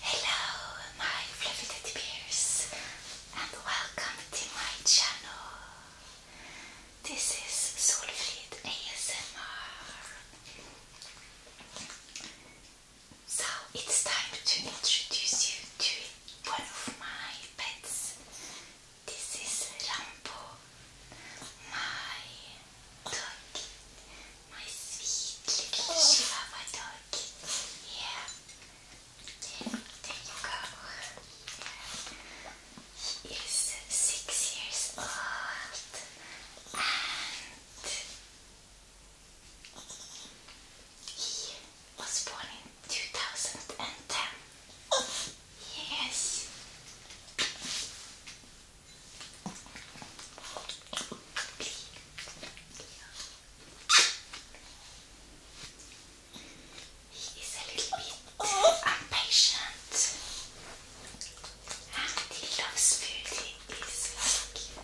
Hello, my fluffy teddy bears, and welcome to my channel. This is Solfrid ASMR. So it's time to introduce you to one of my pets. This is Rambo, my dog, my sweet little oh. Chihuahua doggy. Yeah, there you go. He is six years old and he was born in 2010. Yes. He is a little bit impatient and he loves food. He is he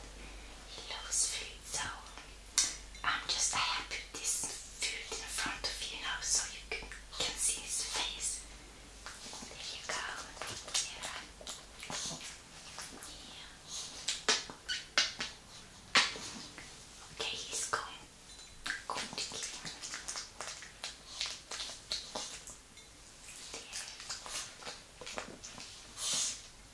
loves food so I'm just, I have put this food in front of you now so you can, can see his face. There you go. Yeah. yeah. Okay, he's going, going to keep on. There.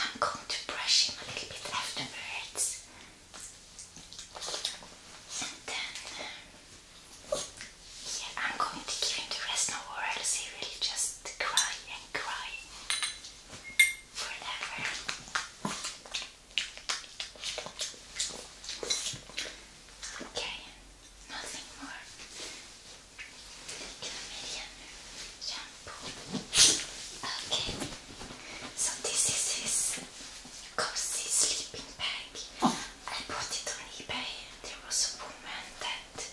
I'm going to brush him a little bit afterwards. And then, yeah, I'm going to give him the rest now, or else he will just cry and cry forever. Okay, nothing more. Chlamydian shampoo. Okay, so this is his cozy sleeping bag. I bought it on eBay there was a woman that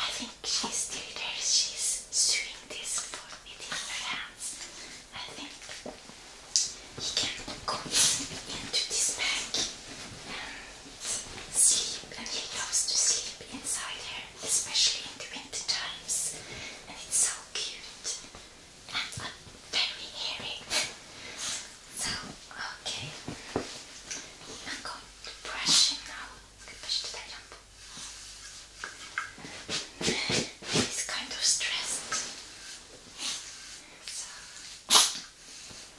I think she's still there. She's sewing this for within I think he can go into this bag sleep and he loves to sleep inside here, especially in the winter times. And it's so cute. And i very hairy. so, okay. I'm going to brush him now. He's kind of stressed. So.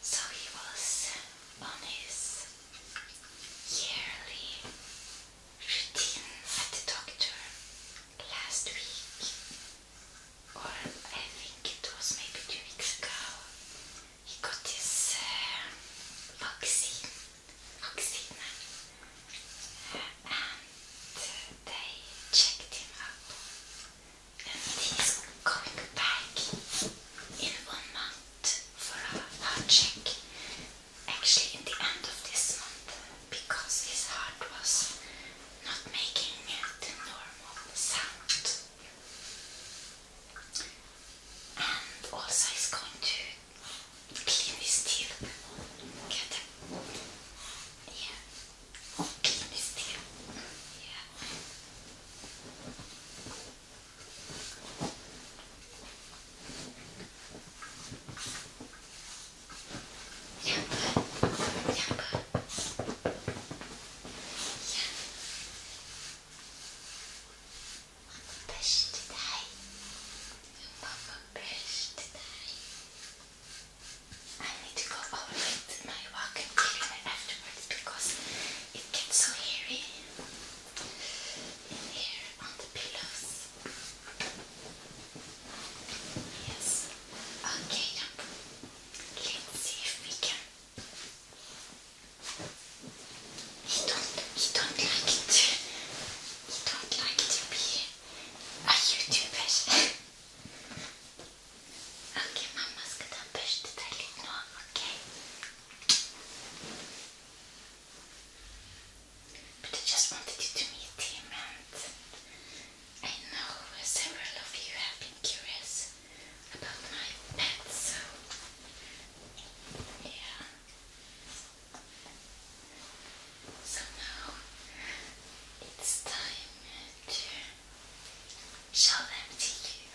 So he was on his yearly routine at the doctor last week, or I think it was maybe two weeks ago. He got his uh, vaccine, vaccine, uh, and they checked him up he's coming back in one month for a heart check. Actually, in the end of this month, because his heart was not making the normal sound. And also, he's going to clean his teeth. Yeah. Clean his teeth. Yeah. Fish today. Mama fish I need to go all the way to my walk and get it afterwards because it gets so hairy in here on the pillows. Yes. Okay, let's see if we can. He don't. He don't like it. He don't like to be a YouTuber. Okej mamma ska ta börst där lite nu, okej? But I just wanted you to meet him and I know several of you have been curious about my pet, so yeah. So now it's time to show them to you.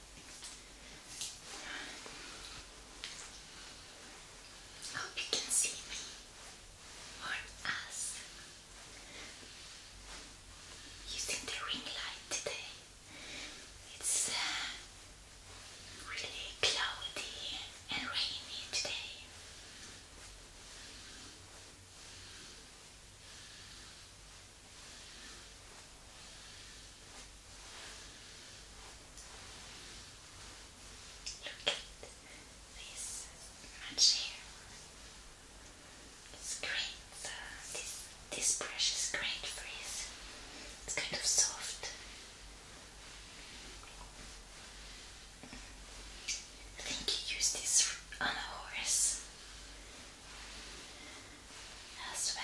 Hope you can see me or us using the ring light today. It's uh, really cloudy and rainy today. Look at this much hair. It's great. this this brush is great for his. It's kind of soft. I think you use this on a horse as well.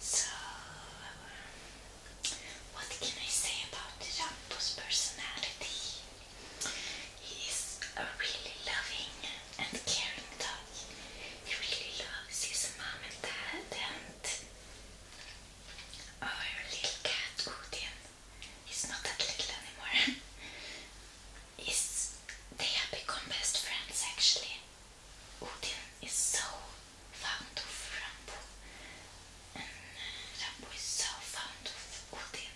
So, what can I say about Rambo's personality? He is a really loving and caring dog. He really loves his mom and dad and our little cat, Odin. He's not that little anymore. is they have become best friends actually. Odin is so fond of Rambo and uh, Rambo is so fond of Odin.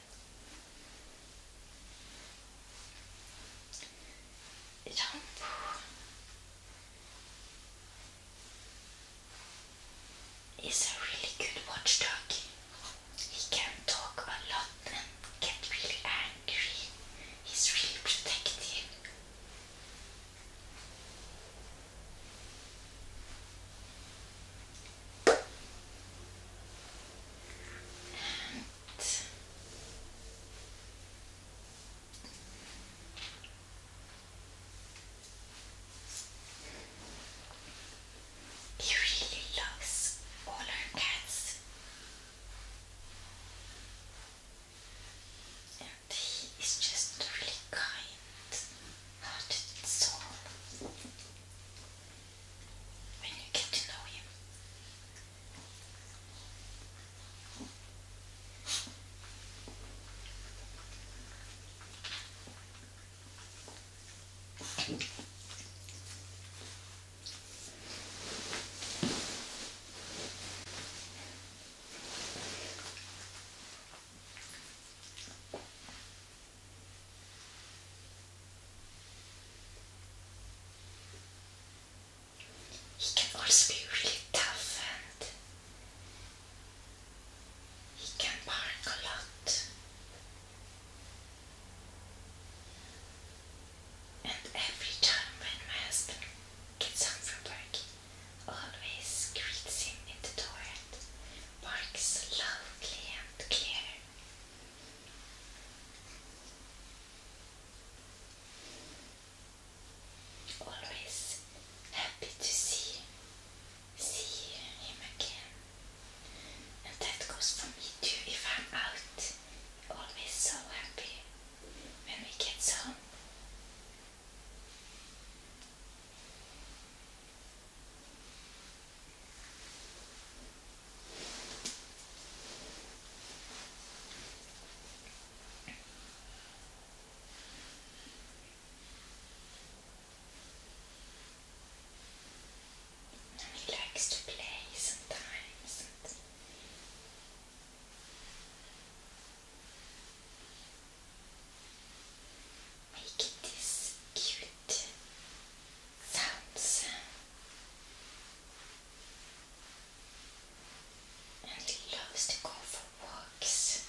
Rambo is a really good watchdog. He can talk a lot and get really angry. He's really protective. He really loves all our cats. And he is just really kind hearted soul when you get to know him. He can also be really tough and he can bark a lot. And every time when my husband gets home from work, always greets him in the door and barks and clear. Always happy to see see him again. And that goes for me too. If I'm out, always so happy when we get home he likes to play sometimes. And Making these cute sounds, and he loves to go for walks.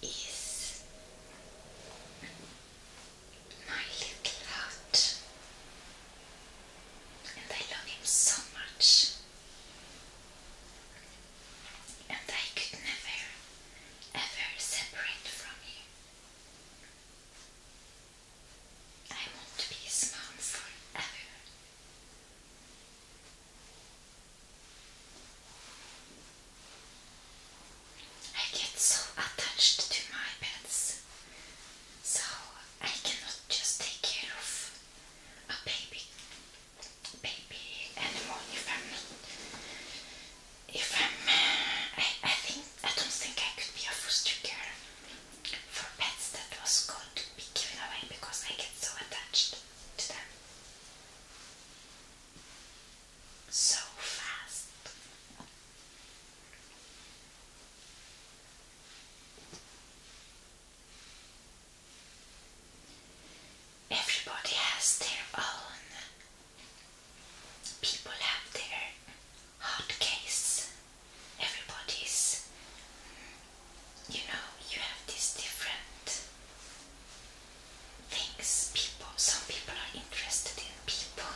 He is my little heart, and I love him so much and I could never, ever separate from you. I want to be a mom forever. I get so attached to my pets, so I cannot just take care of a baby baby anymore if I'm if I'm, I, I think, I don't think I could be a foster care for pets that was going to be given away because I get so attached to them so fast. Everybody has their own. People have their hard case. Everybody's, you know, you have these different things. People, some people are interested in people,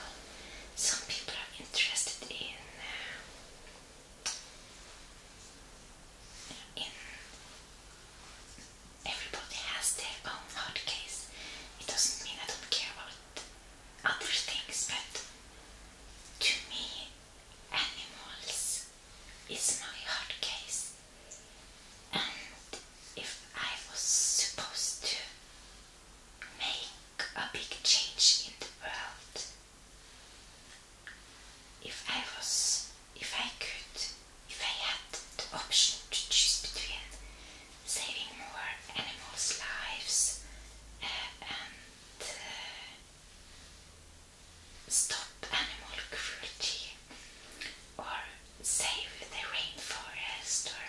some people are interested in everybody has their own hotkeys. It doesn't mean I don't care about other things, but to me, animals is my case. And if I was supposed to make a big change in the world, if I was, if I could, if I had the option to choose between saving more animals' lives uh, and uh, stop animal cruelty or save the rainforest or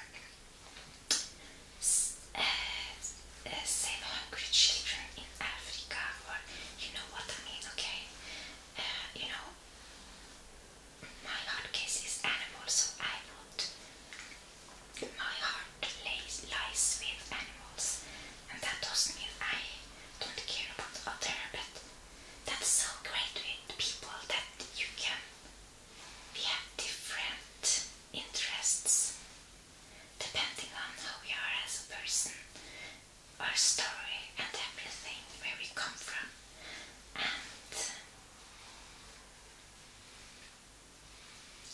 uh, save hungry children in Africa or you know what I mean, okay? you know, my hard case animals, so I wrote my heart lays, lies with animals, and that doesn't mean I don't care about other, but that's so great with people that you can, we have different interests depending on how we are as a person our story and everything where we come from and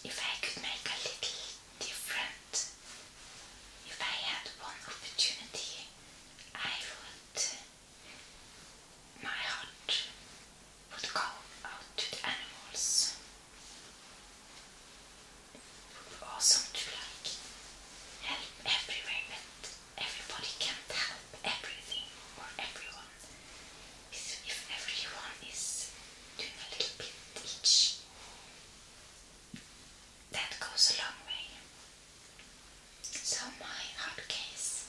if I could make a little different if I had one opportunity I would my heart would go out to the animals awesome to like help everywhere, but everybody can help everything or everyone. If, everyone is doing a little bit each, that goes a long way. So, my hard case,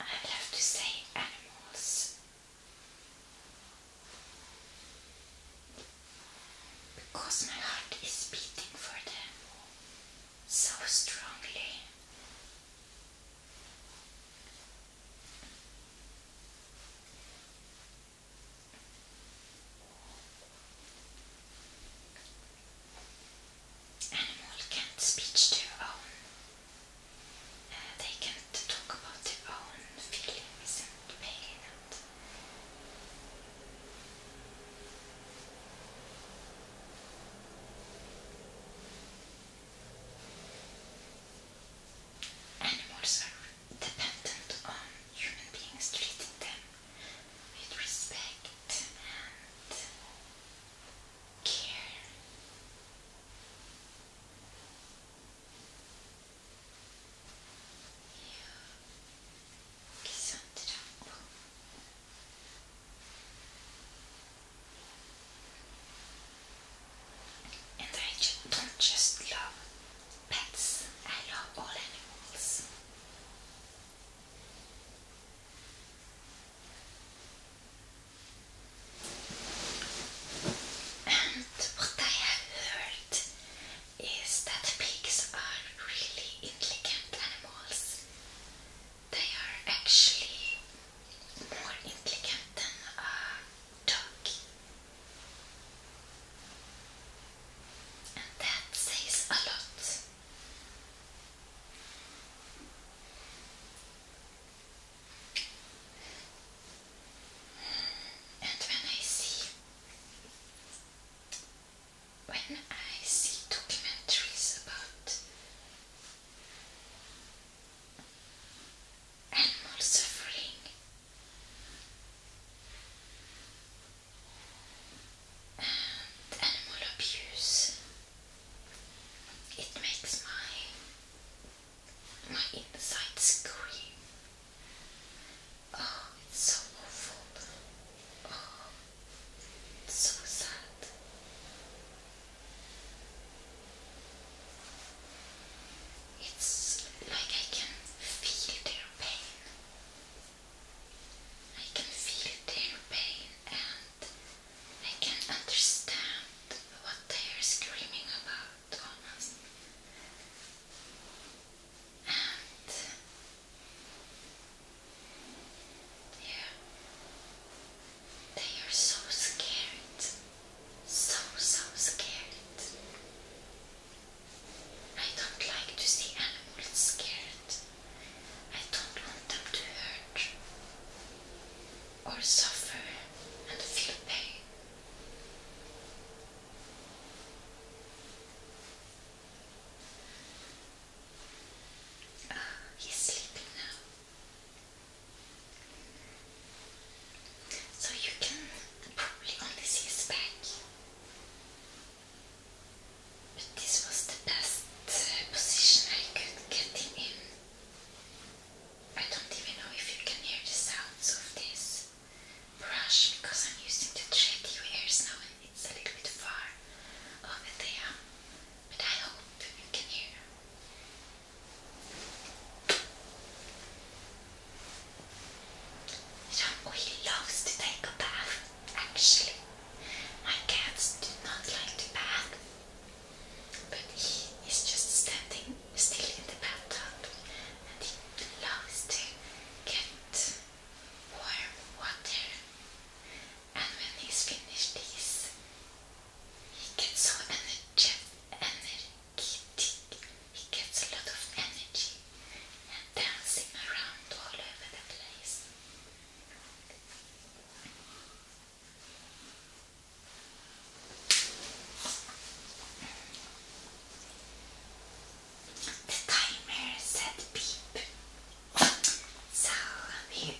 I'd have to say animals because my heart is beating for them so strongly. Animal can't speech their own. Uh, they can't talk about their own feelings and pain Animals are dependent on human beings treating them with respect and care. 刻んでる And I don't just love pets, I love all animals. And what I have heard is that pigs are really intelligent animals. They are actually more intelligent than a dog. And that says a lot. And when I see when I see documentaries about animal suffering, and animal abuse. It makes my my insides scream. Oh, it's so awful. Oh, it's so sad. It's like I can feel their pain. I can feel their pain and I can understand what they are screaming about almost and yeah, they are so scared, so so scared. I don't like to see animals scared. I don't want them to hurt or suffer and feel pain. Ah, he's sleeping now. So you can probably only see his back. But this was the best uh, position I could get him in. I don't even know if you can hear the sounds of this brush because I'm using the shade ears now and it's a little bit far over there. But I hope you can hear. John loves to take a bath, actually. My cats do not like to bath, but he is just standing still in the bathtub and he loves to get warm water. And when he's finished these, he gets so energetic. He gets a lot of energy and dancing around all over the place the timer said beep. So let me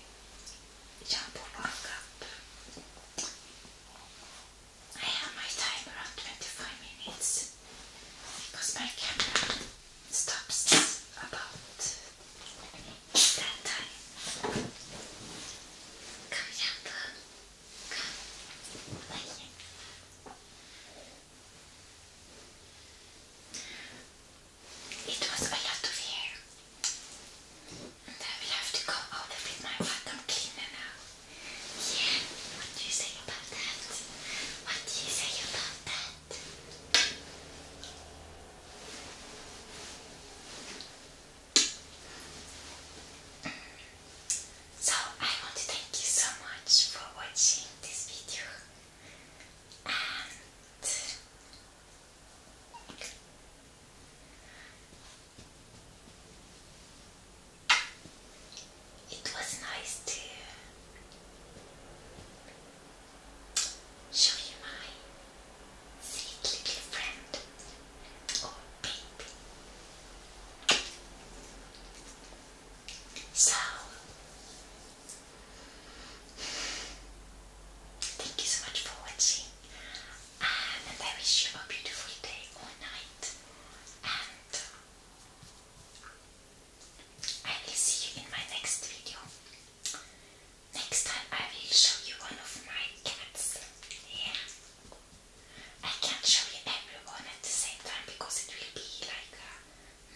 jump I have my timer on 25 minutes because my camera stops about that time. Come, Jumbo. Come. Lay. It was a lot of hair. And I will have to go over with my vacuum cleaner now. Yeah, what do you say about that? What do you say about that? So I want to thank you so much for watching this video it was nice to show you my sweet little friend so, thank you so much for watching, and I wish you a beautiful day or night. And I will see you in my next video. Next time I will show you one of my cats. Yeah. I can't show you everyone at the same time because it will be like a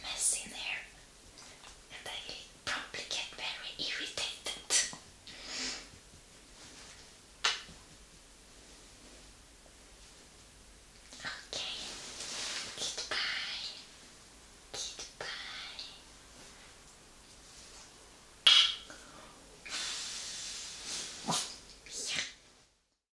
mess in there and I will probably get very irritated. Okay, goodbye, goodbye.